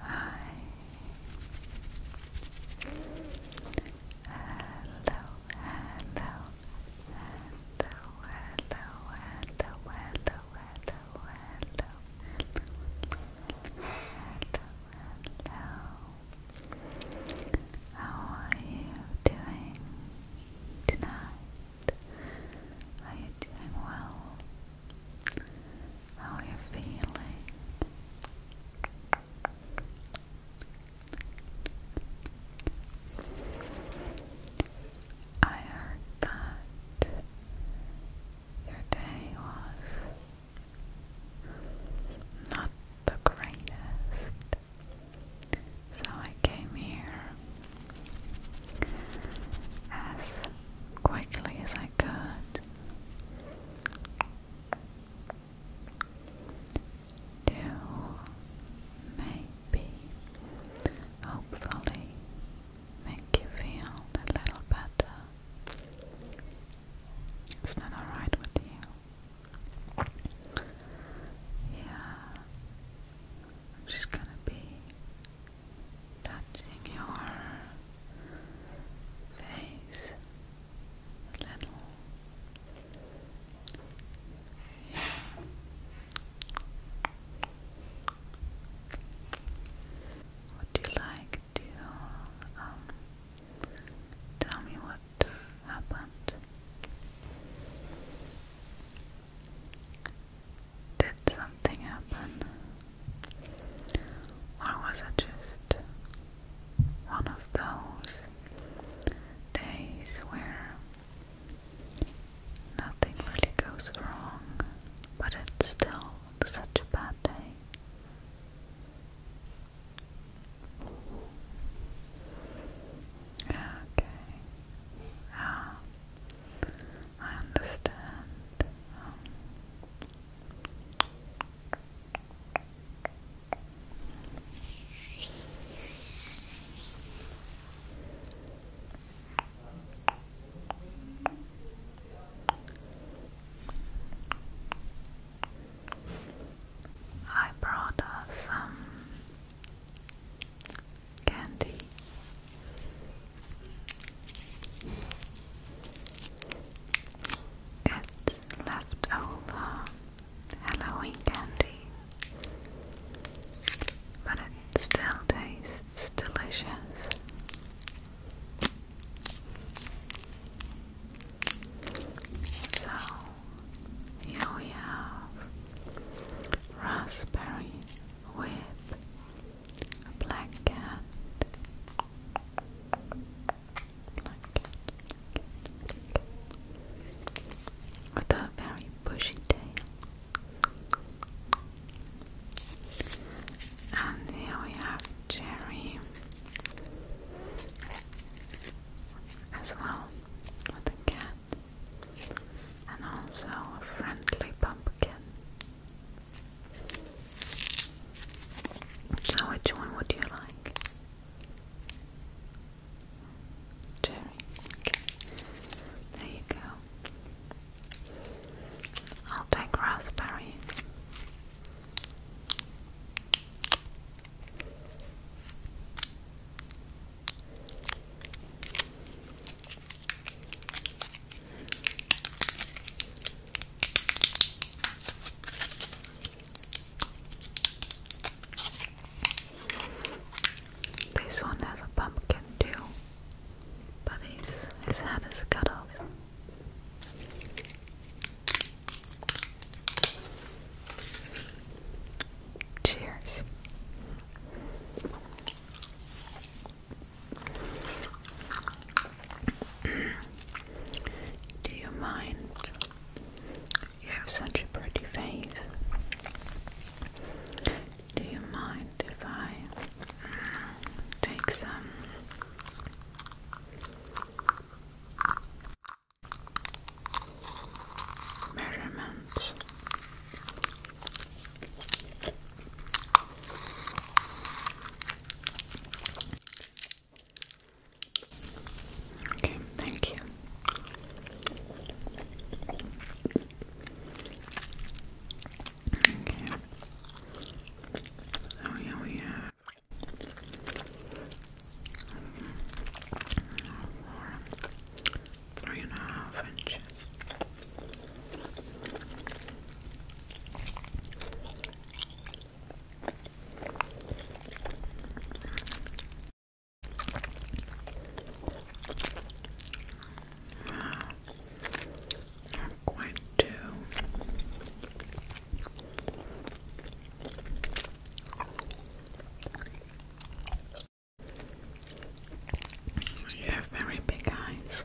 Hi. Hello, hello, hello, hello, hello, hello, hello, hello, hello, hello, hello, hello. How are you doing tonight? Are you doing well? How are you feeling? I heard that your day was not the greatest. So I came here as quickly as I could to maybe, hopefully, make you feel a little better. Is that alright with you? Yeah. I'm just gonna be touching your face a little. Yeah. Would you like to um tell me what happened? Did something happen? Or was it just one of those days where nothing really goes wrong, but it's still such a bad day? Okay. Ah, I understand. Um. I brought her some candy. It's leftover Halloween candy, but it still tastes delicious. So here we have raspberry with a black cat. with a very bushy tail. And here we have Jerry as well with a cat and also a friendly pumpkin. So, which one would you like? Cherry. There you go. I'll take raspberry. This one has a pumpkin too, but his, his head is cut off. Cheers. Do you mind? You have such a pretty face. Do you mind if I mm, take some? measurements. Okay, thank you. Okay. So oh, here we have Four, three and a half inches. Not quite two. You have very big eyes.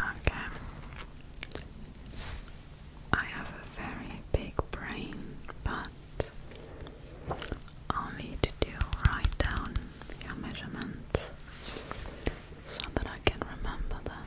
Okay. I have a very big brain, but I'll need to write down your measurements so that I can remember them.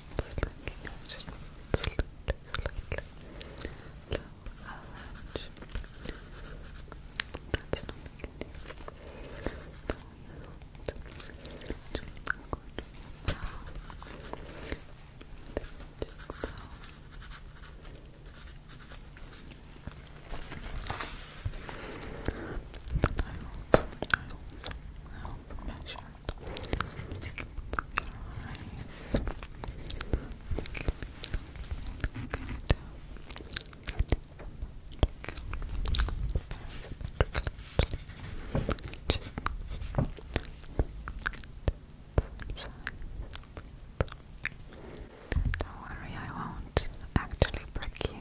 just slightly, slightly low average. That's not good. I also, I also, I also don't worry, I won't actually break you.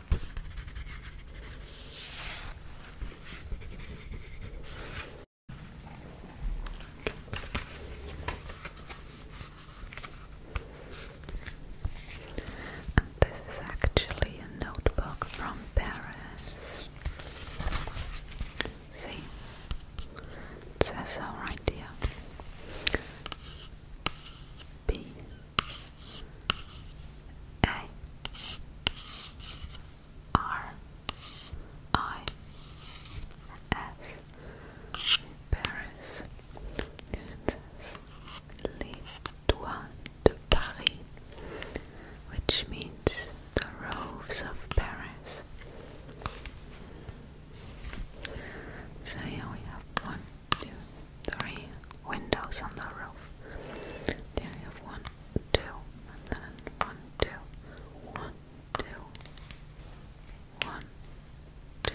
And this is actually a notebook from Paris. See, it says so right here. B a R I S Paris Kansas de Paris which means the roofs of Paris. So here we have one, two, three windows on the roof. There you have one, two, and then one, two, one, two, one, two.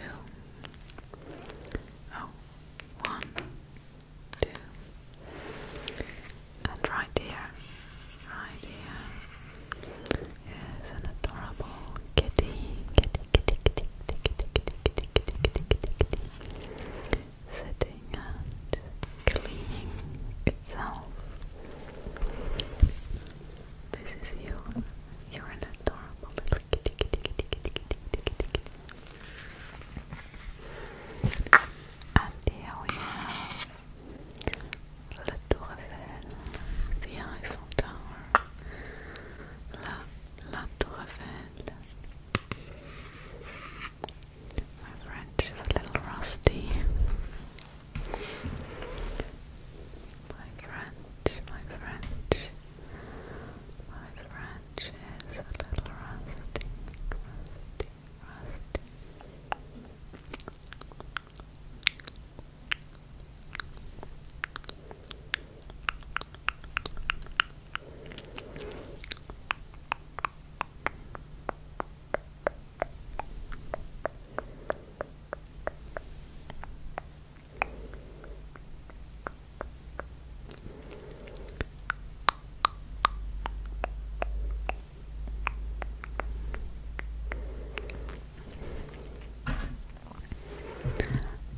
Oh, one, two. And right here, right here is an adorable kitty, kitty, kitty, kitty, kitty, kitty, kitty, kitty, kitty, kitty, kitty sitting and cleaning itself. This is you. You're And here we have the Eiffel Tower. La Tour Eiffel. My French is a little rusty. My French, my French, my French is a little rusty, rusty, rusty. Rusty,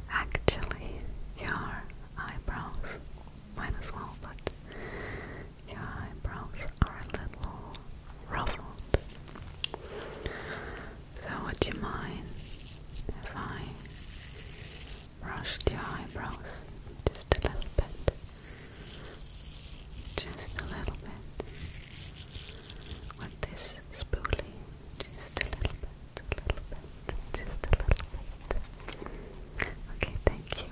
Actually, your eyebrows mine as well, but your eyebrows are a little ruffled. So would you mind if I brushed your eyebrows just a little bit? Just a little bit. With this spoolie, just a little bit, a little bit, just a little bit. Okay, thank you.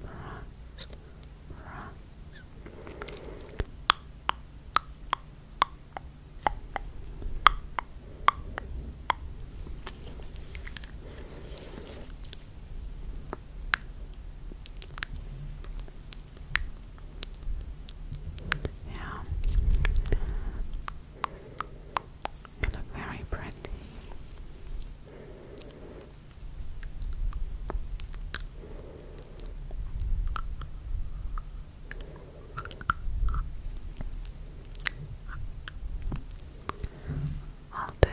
relax, Yeah, you look very pretty. All day,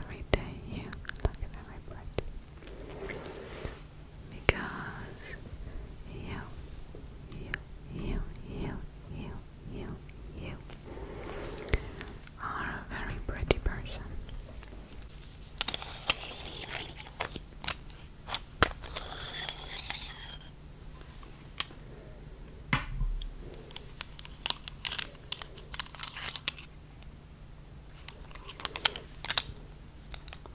every day, you look at bright. Because you, you, you, you, you you, you are a very pretty person.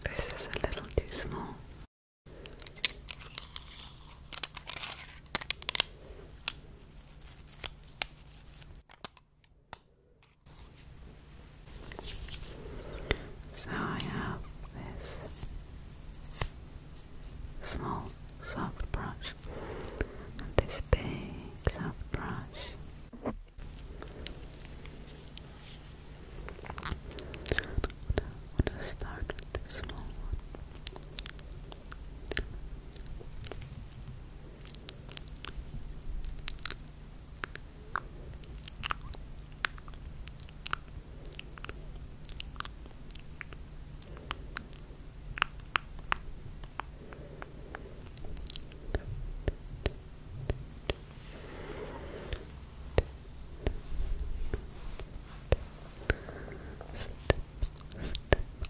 This is a little too small. So I have this small soft brush and this big soft brush. I'm to start with this small one. Step, step,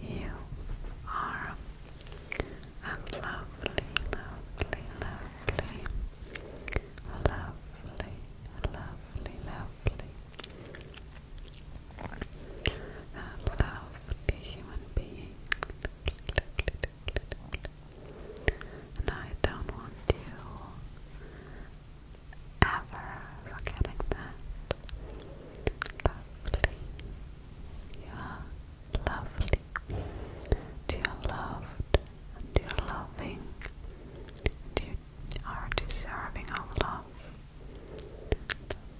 You are a lovely, lovely, lovely, lovely, lovely, lovely, a lovely human being. And I don't want you ever forgetting that. Lovely. You are lovely. You are loved and you are loving. you are deserving of love.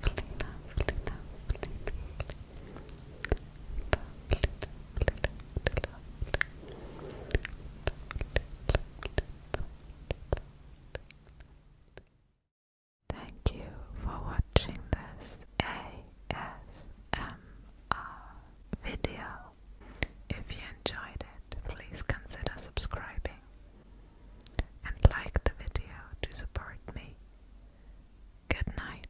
Lovely, lovely, Thank you for watching this ASMR video. If you enjoyed it, please consider subscribing and like the video to support me. Good night.